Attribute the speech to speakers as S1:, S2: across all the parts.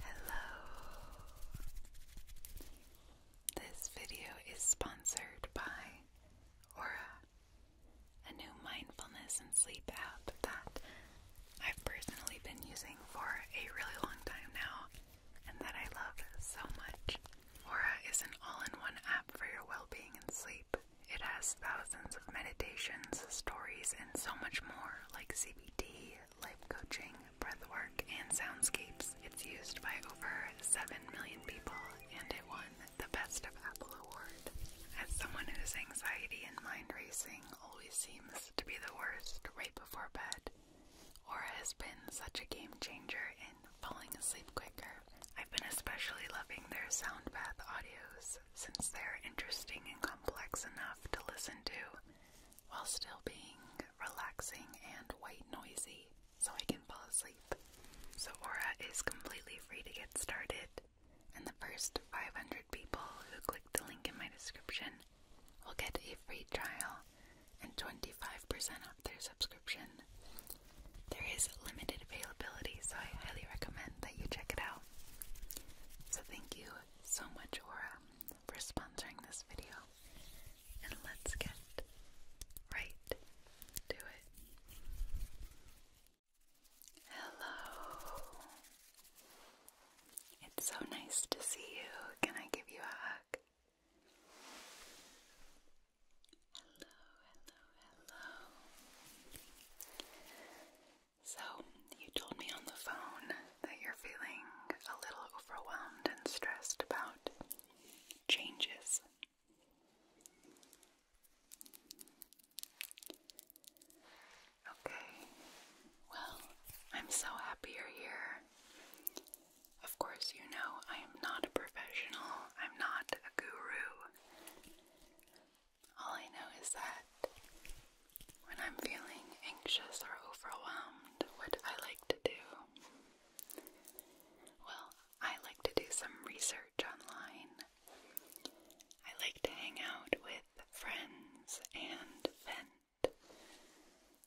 S1: Hello. This video is sponsored by Aura, a new mindfulness and sleep app that I've personally been using for a really long time now and that I love so much. Aura is an all in one app for your well being and sleep. It has thousands of meditations, stories, and so much more, like CBT, life coaching, breathwork, and soundscapes. It's used by over 7 million people, and it won the Best of Apple Award. As someone whose anxiety and mind racing always seems to be the worst right before bed, Aura has been such a game changer in falling asleep quicker. I've been especially loving their sound bath audios since they're interesting and complex enough to listen to while still being relaxing and white noisy so I can fall asleep. So Aura is completely free to get started and the first 500 people who click the link in my description will get a free trial and 25% off their subscription. There is limited availability so I highly recommend that you check it out. So thank you so much, Aura, for sponsoring this video. And let's get right to it. Hello. It's so nice to see you. Can I give you a hug? Hello, hello, hello. So, you told me on the phone that you're feeling a little overwhelmed and stressed about changes. Okay, well, I'm so happy you're here. Of course, you know I am not a professional, I'm not a guru. All I know is that when I'm feeling anxious or overwhelmed, what I like to do, well, I like to do some research online. I like to hang out with friends and vent,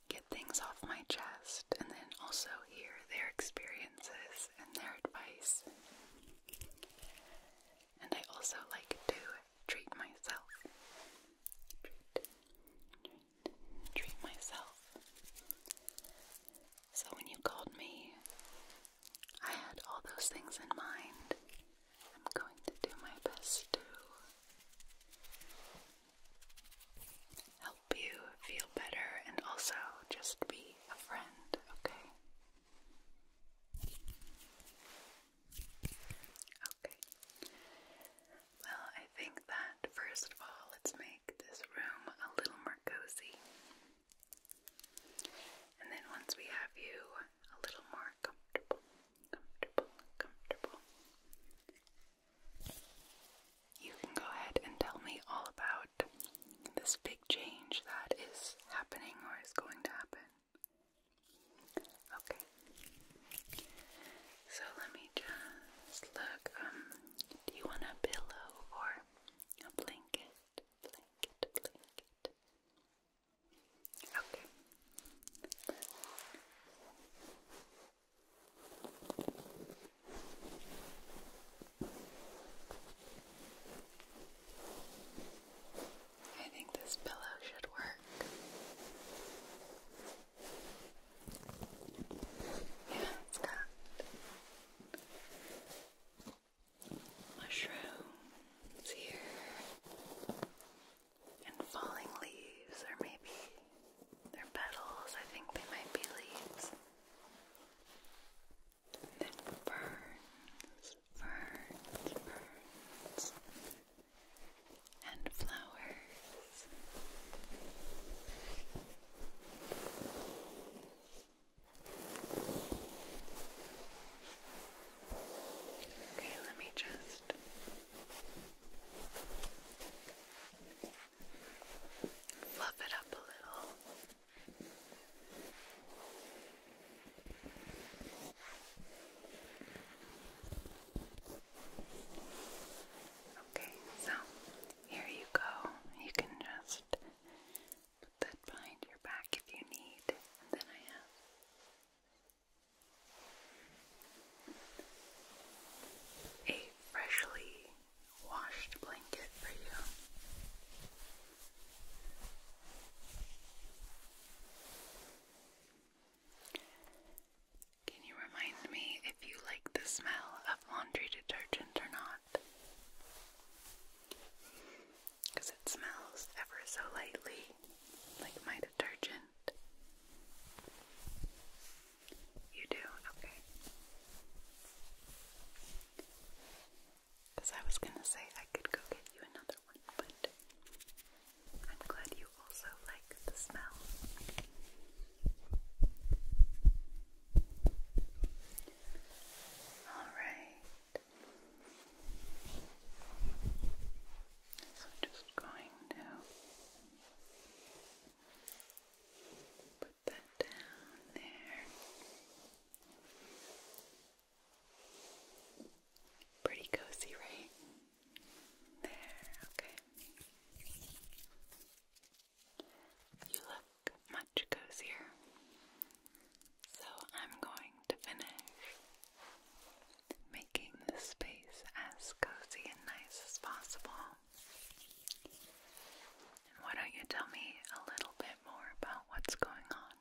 S1: get things off my chest, and then also hear their experiences and their advice. And I also like to treat myself. Treat, treat, myself. So when you called me, I had all those things in mind. I'm going to do my best to help you feel better and also just be a friend, okay? Okay. Well, I think that first of all, let's make this room a little more cozy. And then once we have you a little more comfortable, comfortable, comfortable, you can go ahead and tell me all about this big change that is happening or is going to happen. Okay. So let me just look. Um, do you want a pillow or a blanket? Blanket, Okay. I think this pillow should work. Yeah, it's got mushrooms here and falling leaves, or maybe they're petals. I think they might be leaves. And ferns birds, birds, and flowers. Okay, let me just. Fluff it up a little. Okay, so here you go. You can just put that behind your back if you need, then I have. A freshly washed blanket for you. Can you remind me if you like the smell of laundry detergent or not? Because it smells ever so lightly like my detergent. You do? Okay. Because I was going to say I could go get you another one but I'm glad you also like the smell. Alright. So just going to put that down there. Pretty cozy, right? There, okay. You look much cozier. So I'm going to finish making the space as cozy and nice as possible. why don't you tell me a little bit more about what's going on?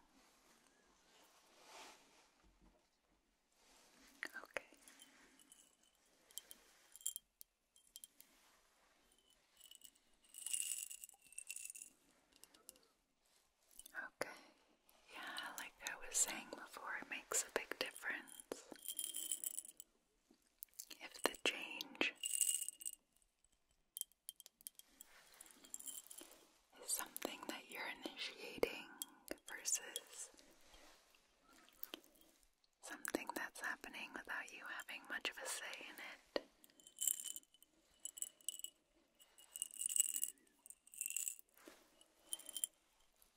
S1: Okay. Okay. Yeah, like I was saying before, it makes a big difference. If the change is something that you're initiating versus something that's happening without you having much of a say in it.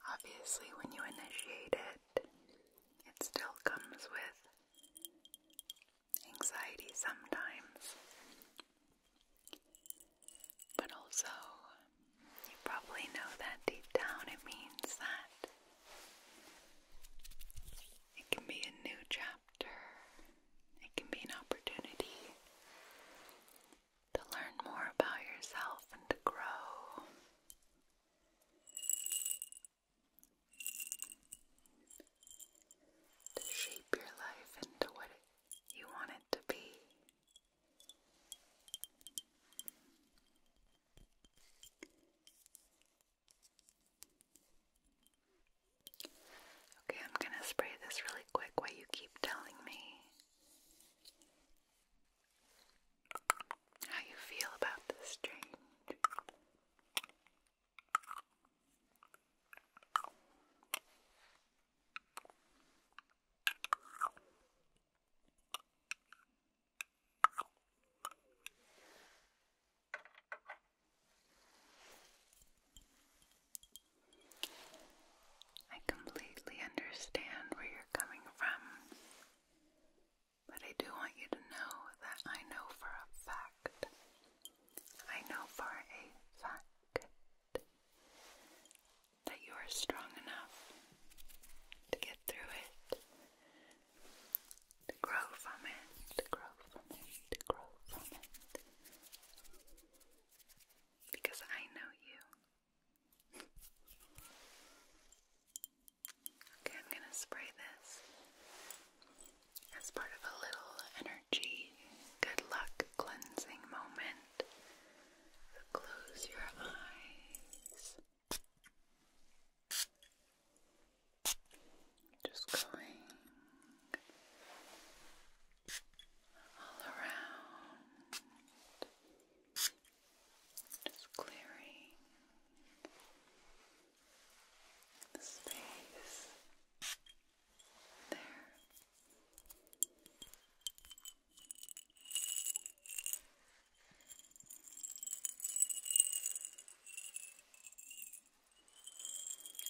S1: Obviously, when you initiate it, it still comes with anxiety sometimes, but also, you probably know that deep down it means that it can be a new chapter, it can be an opportunity to learn more about yourself and to grow. To shape your life into what you want it to be. Okay, I'm going to spray this really quick while you keep telling me how you feel about this change. I completely understand where you're coming from, but I do want you to know that I know for a fact. I know for a fact that you are strong enough to get through it, to grow from it, to grow from it, to grow from it. Because I know you. okay, I'm going to spray this as part of a little energy, good luck cleansing moment Close your eyes. Just going all around, just clearing the space there.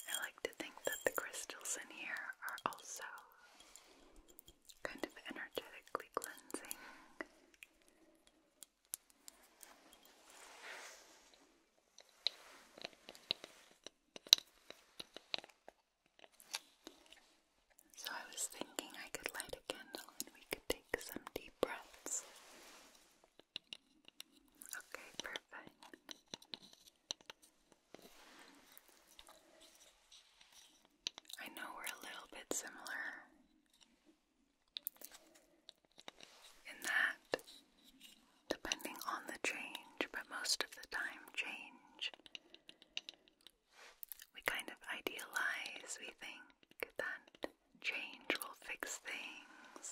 S1: I like to think that the crystals in here are also kind of energetically cleansing. So I was thinking I could light a candle and we could take some deep breaths. Okay, perfect. I know we're a little bit similar in that, depending on the change, but most of the time, change we kind of idealize, we think that change will fix things.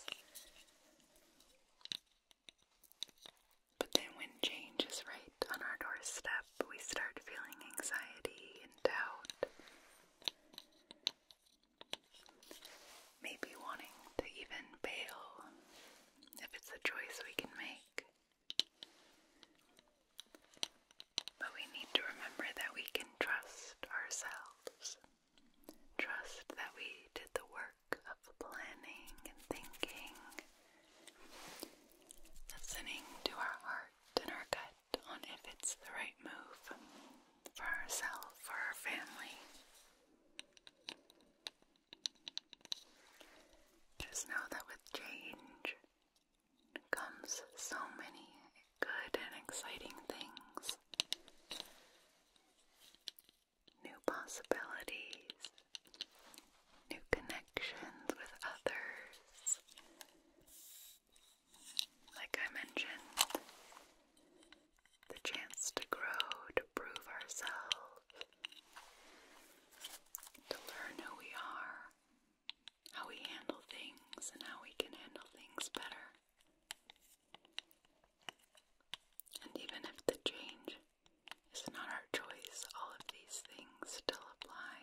S1: But then, when change is right on our doorstep, we start feeling anxiety and doubt. Maybe wanting to even bail if it's a choice we can make. But we need to remember that we can trust ourselves. Trust that we did the work of planning and thinking, listening to our heart and our gut on if it's the right move for ourselves, for our family. Just know that with change, comes so many good and exciting things, new possibilities, new connections with others. Like I mentioned, the chance to grow, to prove ourselves, to learn who we are, how we handle things and how we can handle things better. And even if the change is not our choice, all of these things still apply.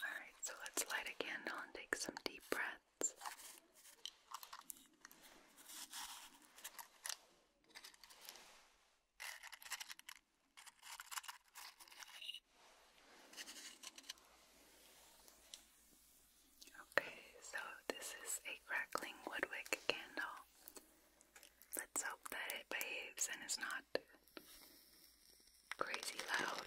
S1: Alright, so let's light a candle and take some deep breaths that. Okay, so this is a crackling woodwick candle. Let's hope that it behaves and is not crazy loud.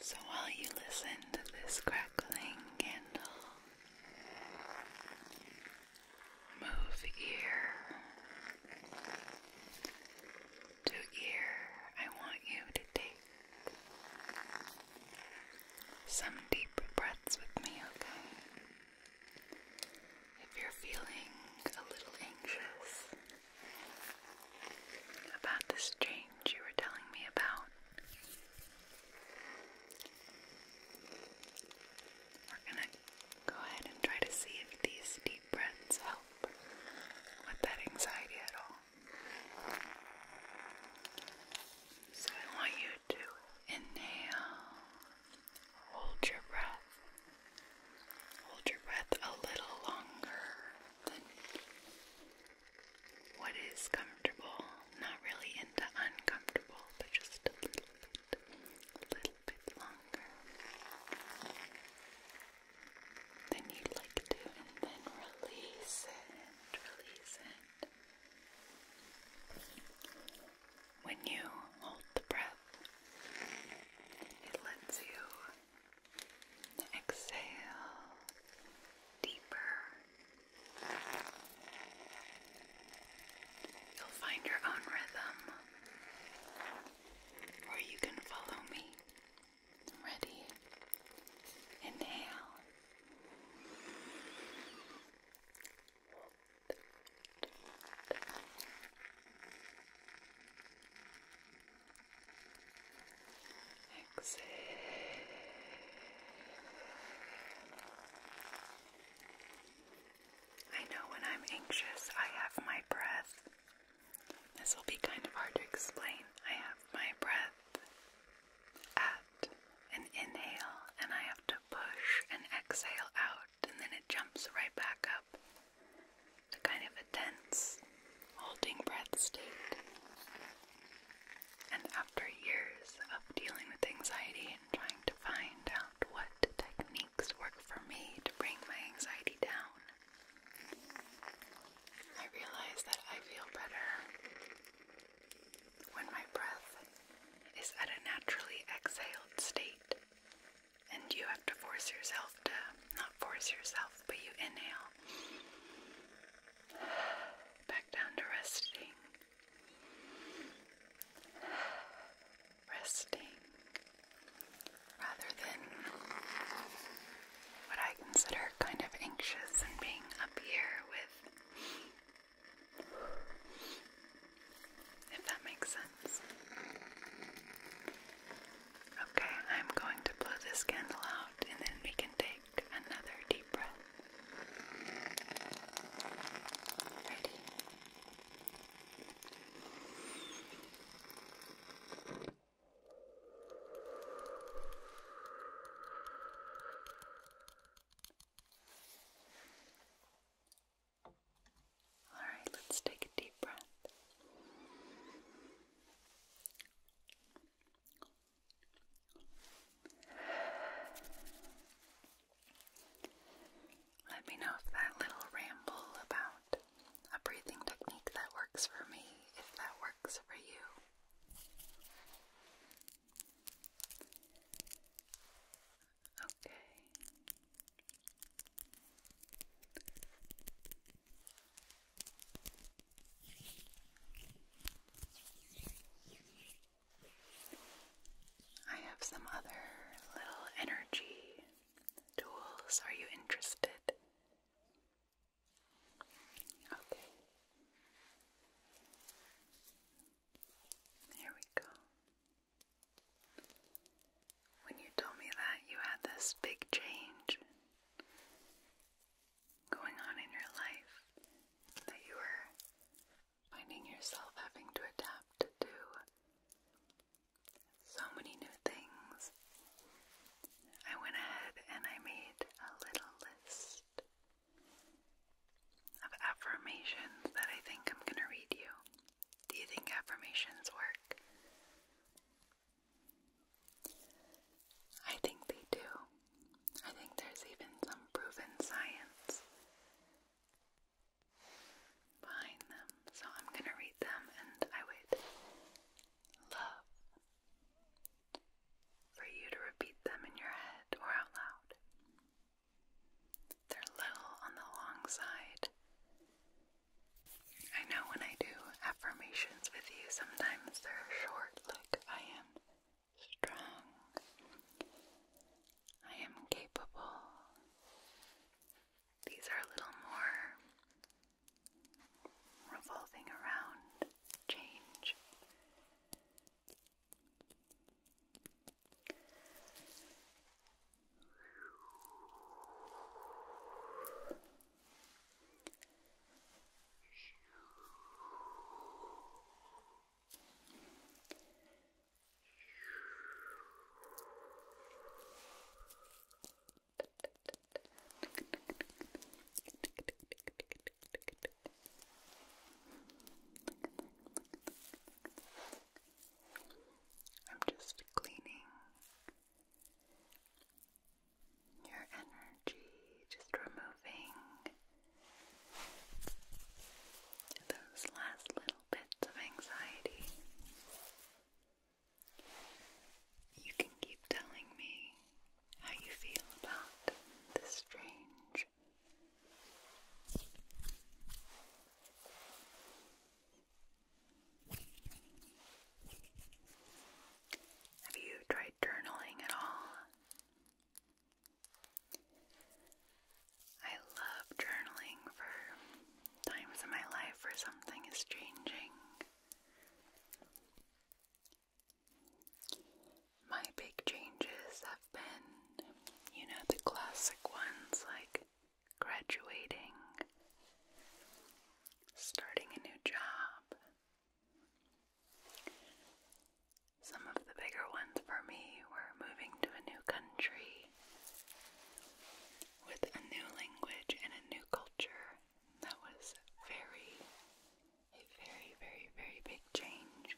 S1: So while you listen to this crackling candle, move ear to ear. I want you to take some deep breaths with me, okay? If you're feeling a little anxious, about this change you were telling me about. We're gonna go ahead and try to see if these deep breaths help with that anxiety at all. So I want you to inhale, hold your breath, hold your breath a little longer what is comfortable, not really into uncomfortable, but just a little bit, a little bit longer than you'd like to, and then release it, release it. When you hold the breath, it lets you Exhale deeper. You'll find your own rhythm, or you can follow me. Ready? Inhale. Exhale. I know when I'm anxious, I have my breath. This will be kind of hard to explain. I have my breath at an inhale, and I have to push and exhale out, and then it jumps right back up. It's kind of a tense holding breath state. And after years of dealing with anxiety and trying to find out what techniques work for me to bring my anxiety down, I realize that I feel better when my breath is at a naturally exhaled state. And you have to force yourself to, not force yourself, but you inhale Back down to resting. Resting rather than what I consider kind of anxious and being up here with, if that makes sense. Okay, I'm going to blow this candle out and then we can take another deep breath. Ready? All right, let's take a deep breath. Let me know if that little ramble about a breathing technique that works for me, if that works for you. Okay. I have some other little energy tools. Are you interested? Okay. Here we go. When you told me that you had this big change going on in your life that you are finding yourself having to adapt to so many new things. I went ahead and I made a little list of affirmations that I think I'm going to read you. Do you think affirmations work? I think they do. I think there's even some proven science behind them. So I'm going to read them and I would love for you to repeat them in your head or out loud. They're little on the long side. I know when I do affirmations with you, sometimes they're short, like I strong. I am capable. These are a little more revolving around change. I'm just cleaning your energy, just removing those last little bits of anxiety. You can keep telling me how you feel about this strange have you tried journaling at all? I love journaling for times in my life where something is changing. My big changes have been, you know, the classic ones like graduating, starting a new job, some of the bigger ones for me were moving to a new country with a new language and a new culture. That was very, a very, very, very big change.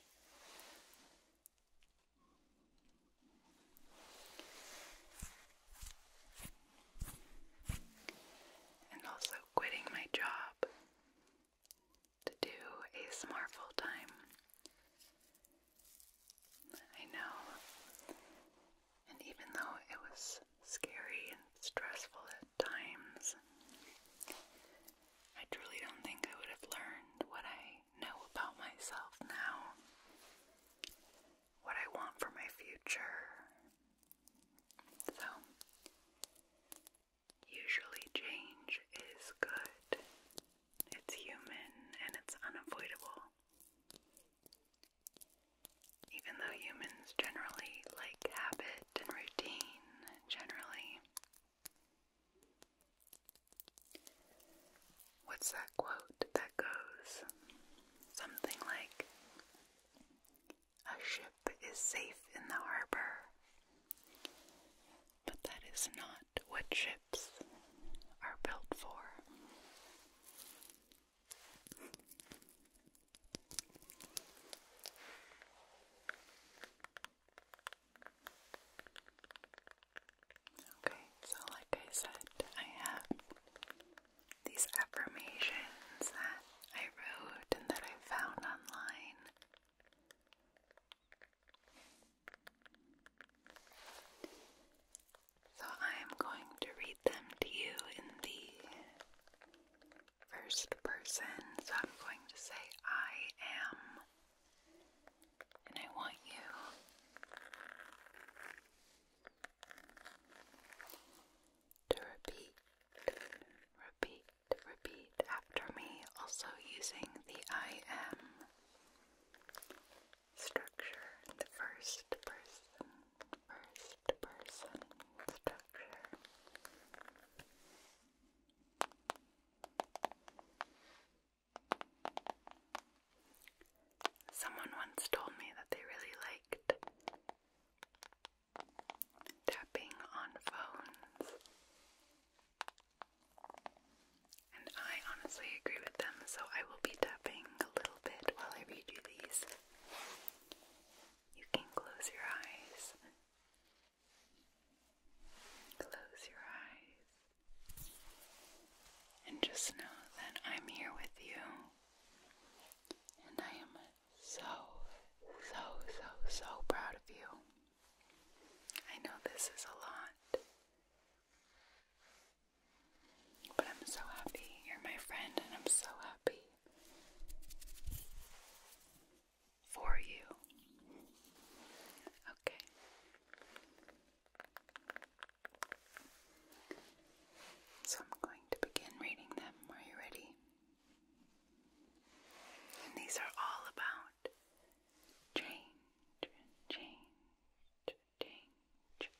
S1: And also quitting my job to do ASMR full time. I know. And even though it was scary and stressful at times, I truly don't think I would have learned what I know about myself now, what I want for my future. So, Usually, change is good, it's human, and it's unavoidable. Even though humans generally like habit and routine, generally. What's that quote that goes something like, a ship is safe in the harbor. But that is not what ships are built for. Okay, so like I said, I have these affirmations that I wrote and that I found online so I am going to read them to you in the first person. So I'm going to say, I am. And I want you to repeat, repeat, repeat after me, also using the I am structure the first person, first person structure. Someone once told me that they really liked tapping on phones. And I honestly agree with them, so I will be tapping a little bit while I read you these. You can close your eyes. Close your eyes. And just know that I'm here with you. And I am so, so, so, so proud of you. I know this is a lot, but I'm so happy. You're my friend, and I'm so happy for you. Okay. So I'm going to begin reading them. Are you ready? And these are all about change, change, change.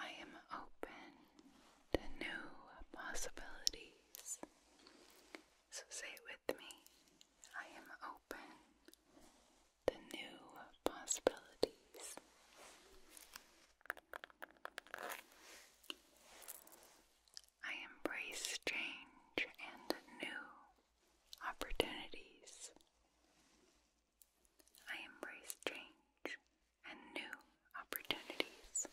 S1: I am open to new possibilities. So say it with me. I am open to new possibilities. I embrace change and new opportunities. I embrace change and new opportunities.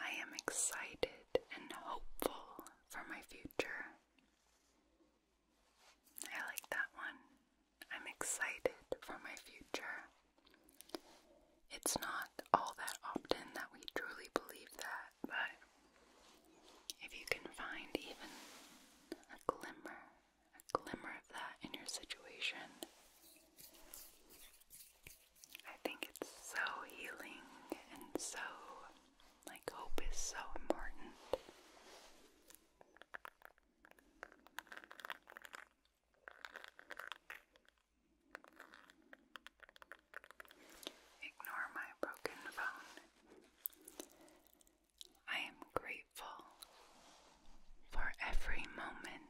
S1: I am excited and hopeful for my future. I like that one. I'm excited for my future. It's not all that often that we truly believe that, but if you can find even a glimmer, a glimmer of that in your situation, I think it's so healing and so, like, hope is so important. Ignore my broken phone. I am grateful for every moment.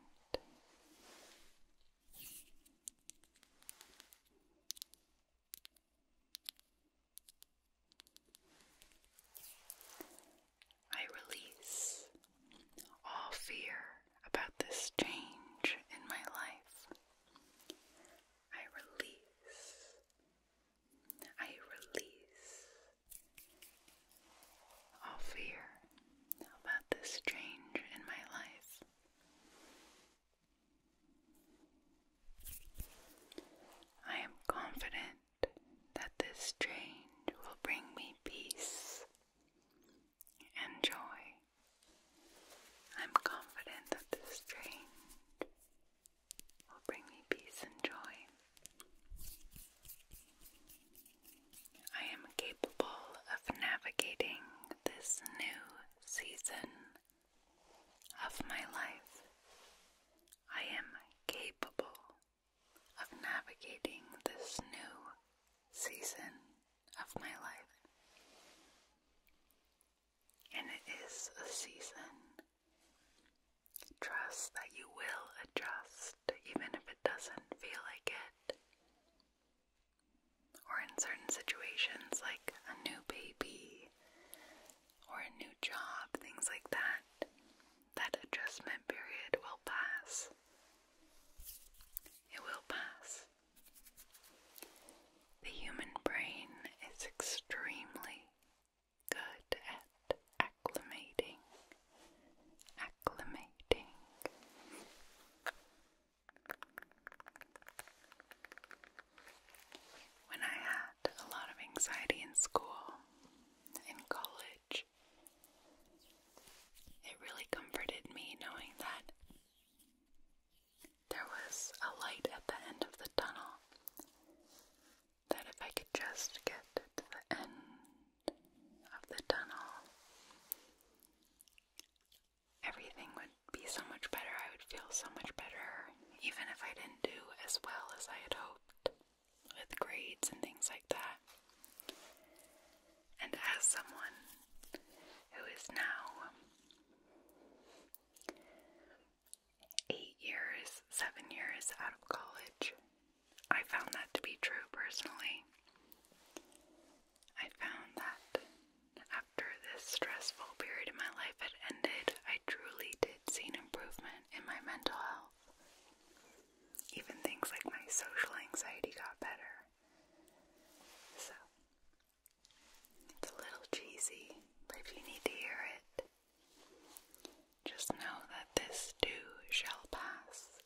S1: I release all fear about this change in my life. I release. I release all fear about this change in my life. I am confident that this change will bring me peace and joy. I'm confident that this change will bring me peace and joy. I am capable of navigating this new season of my life. I am capable of navigating this new season of my life. And it is a season. Trust that you will adjust, even if it doesn't feel like it. Or in certain situations, like a new baby or a new job, things like that, that adjustment period will pass it will pass. The human brain is extremely good at acclimating, acclimating. When I had a lot of anxiety in school, in college, it really comforted me knowing that there was a light at the end of the tunnel. That if I could just get to the end of the tunnel, everything would be so much better. I would feel so much better, even if I didn't do as well as I had hoped with grades and things like that. And as someone who is now eight years, seven years out of college, I found that to be true personally. I found that after this stressful period in my life had ended, I truly did see an improvement in my mental health. Even things like my social anxiety got better. So, it's a little cheesy, but if you need to hear it, just know that this too shall pass.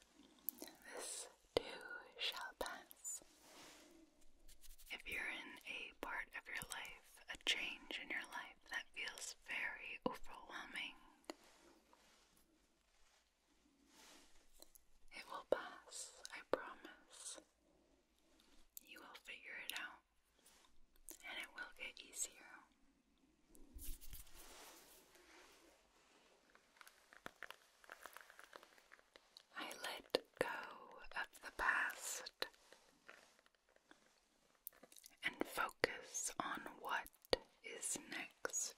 S1: This too shall pass. If you're in a part of your life, a change in your life that feels very overwhelming, it will pass, I promise. You will figure it out, and it will get easier. I let go of the past and focus on what is next.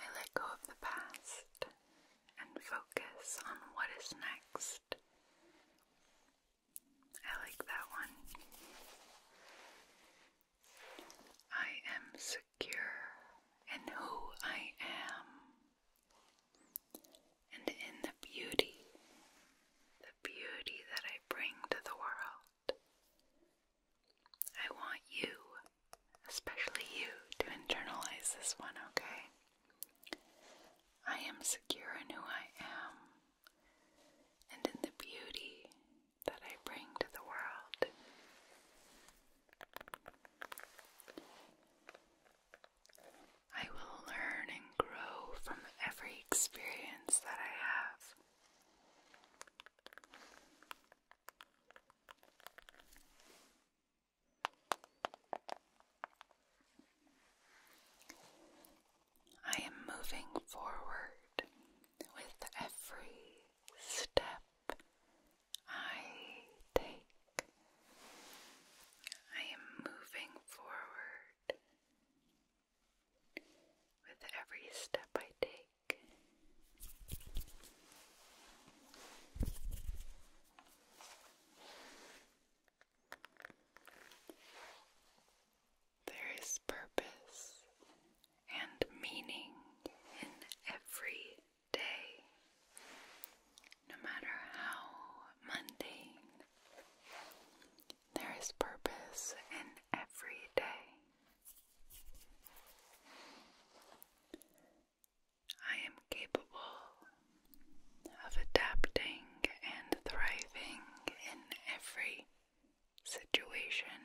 S1: I let go of the past and focus on what is next. I like that one. I am secure in who I am and in the beauty, the beauty that I bring to the world. I want you, especially you, to internalize this one, okay? I am secure in who I am and in the beauty that I bring to the world. I will learn and grow from every experience that I have. I am moving forward with every step I take. I am moving forward with every step I take. There is purpose and meaning in every day, no matter how mundane. There is purpose in every day. I am capable of adapting and thriving in every situation.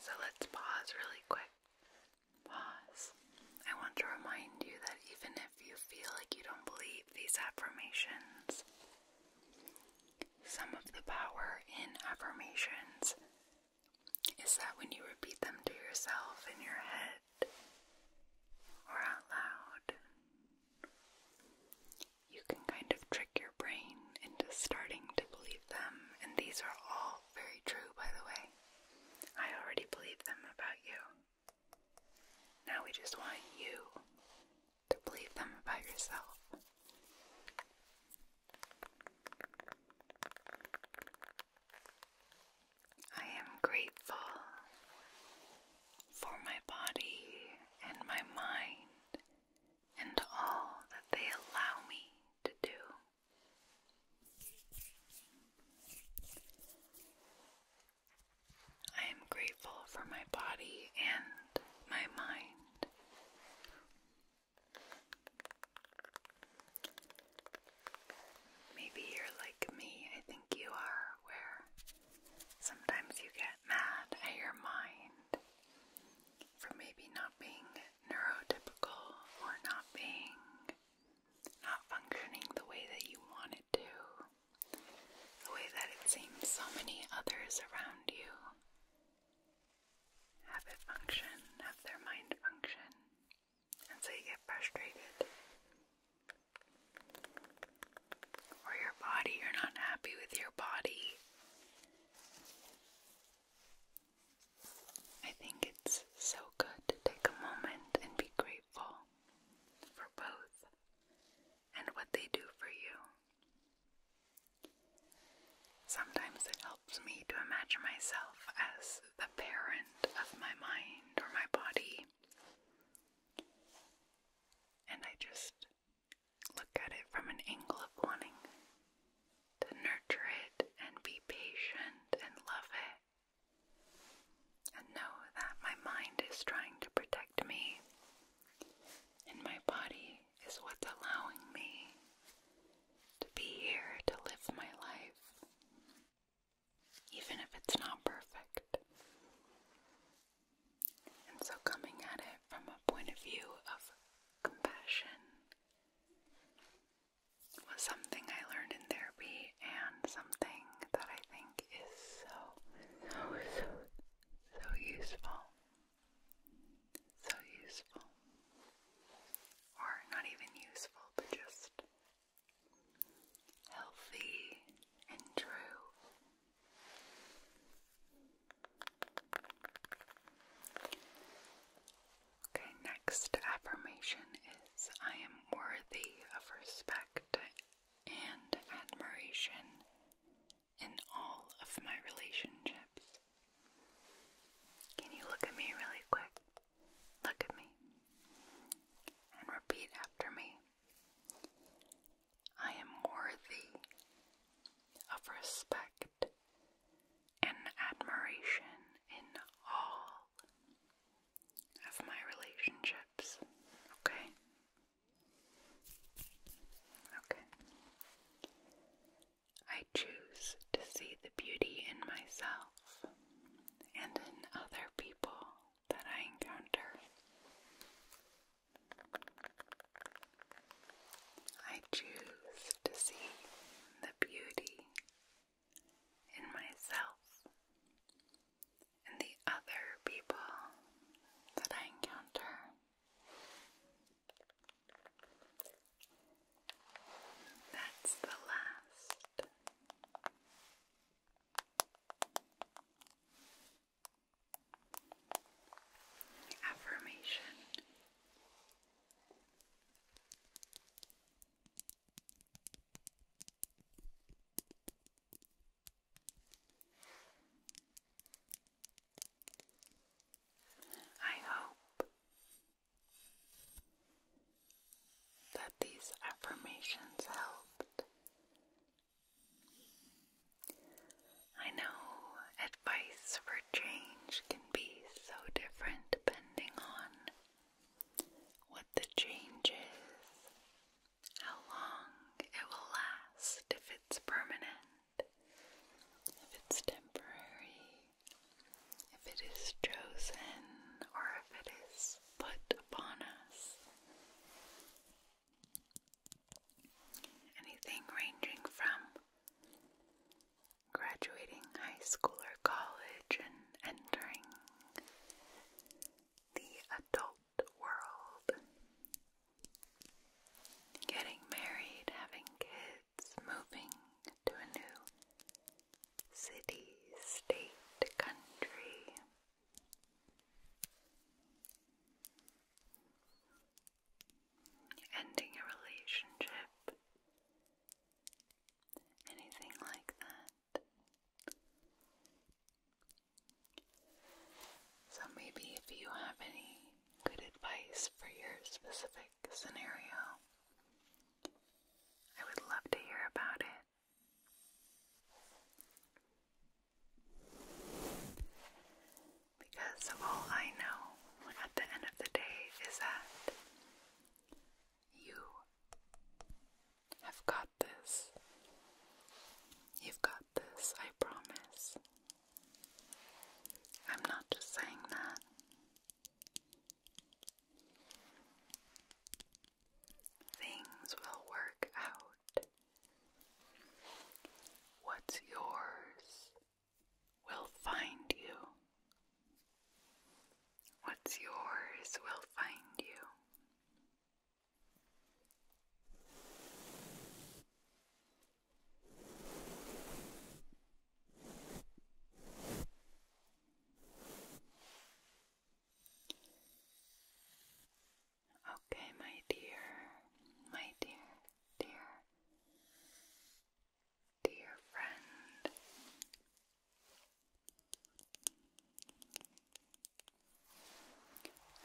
S1: So let's pause really quick. Pause. I want to remind you that even if you feel like you don't believe these affirmations. Some of the power in affirmations is that when you repeat them to yourself in your head or out loud, you can kind of trick your brain into starting to believe them. And these are all very true, by the way. I already believe them about you. Now we just want you to believe them about yourself. I am grateful for my body and my mind and all that they allow me to do. I am grateful for my body and my mind. Maybe you're like me, I think you are, where sometimes you get mad at your mind for maybe not being neurotypical or not being, not functioning the way that you want it to the way that it seems so many others around you have it function, have their mind function, and so you get frustrated. Or your body, you're not happy with your body. I think it's so good to take a moment and be grateful for both and what they do for you. Sometimes it helps me to imagine myself as the parent of my mind or my body. And I just look at it from an angle of wanting to nurture it and be patient and love it. And know that my mind is trying to protect me and my body is what's allowing me to be here to live my life, even if it's not perfect. And so, coming at it from a point of view of compassion was something I learned in therapy and something that I think is so, so, so, so useful. So useful. Or not even useful, but just healthy and true. Okay, next affirmation is I am worthy of respect and admiration in all of my relationships. Can you look at me really quick? Look at me and repeat after me. I am worthy of respect and admiration in all of my relationships. Okay? Okay. I choose to see the beauty in myself and in other people that I encounter. I choose to see the beauty in myself and the other people that I encounter. That's the last. Affirmation. I hope that these affirmations helped. I know advice for change can be so different depending on what the change is how long it will last, if it's permanent, if it's temporary, if it is chosen, or if it is put upon us. Anything ranging from graduating high school or college and entering the adult world. Getting married, having kids, moving to a new city, state, country. Ending a relationship, anything like that. So, maybe if you have any good advice for your specific scenario, I would love to hear about it. Because all I know at the end of the day is that you have got this. You've got this, I promise. I'm not just saying that. Things will work out. What's yours will find you. What's yours will find you. Okay, my dear, my dear, dear, dear friend,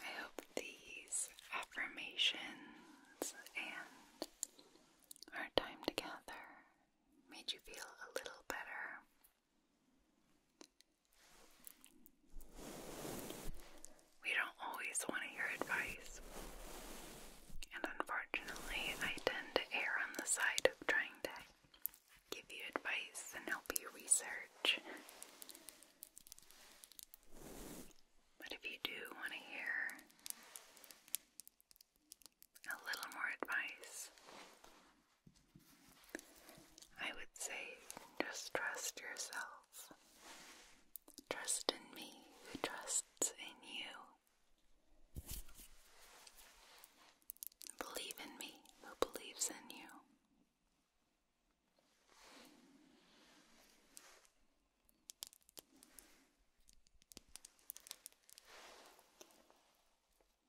S1: I hope these affirmations and our time together made you feel a little better. We don't always want to hear advice, and unfortunately, I tend to err on the side of trying to give you advice and help you research. But if you do want to hear a little more advice, I would say just trust yourself. Trust in me who trusts in you. Believe in me who believes in you.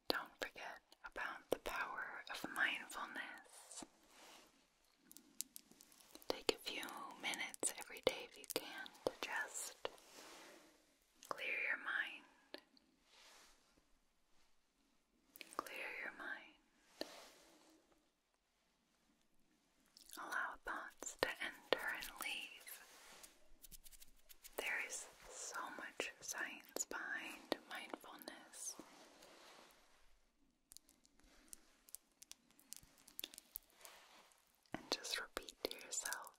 S1: Don't forget about the power of mindfulness. Take a few minutes every day if you can to just clear your mind. Clear your mind. Allow thoughts to enter and leave. There is so much science behind mindfulness. And just repeat to yourself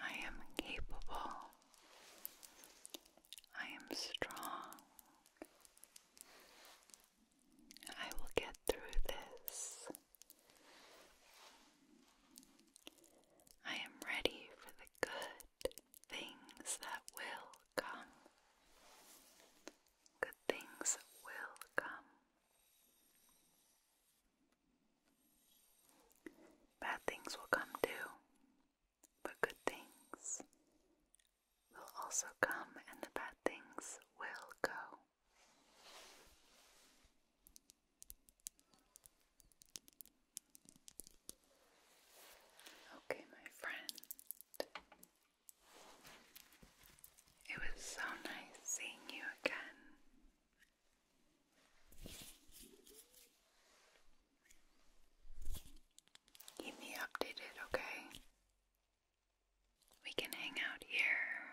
S1: I am capable. I am strong. I will get through this. I am ready for the good things that will come. Good things will come. Bad things will come too, but good things will also come and the bad things will go. Okay, my friend. It was so nice seeing you again. Keep me updated, okay? We can hang out here,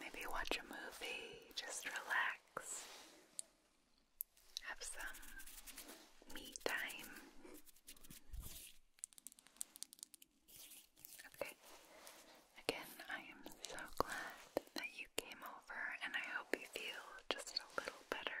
S1: maybe watch a movie, just relax, have some me time. Okay, again, I am so glad that you came over, and I hope you feel just a little better.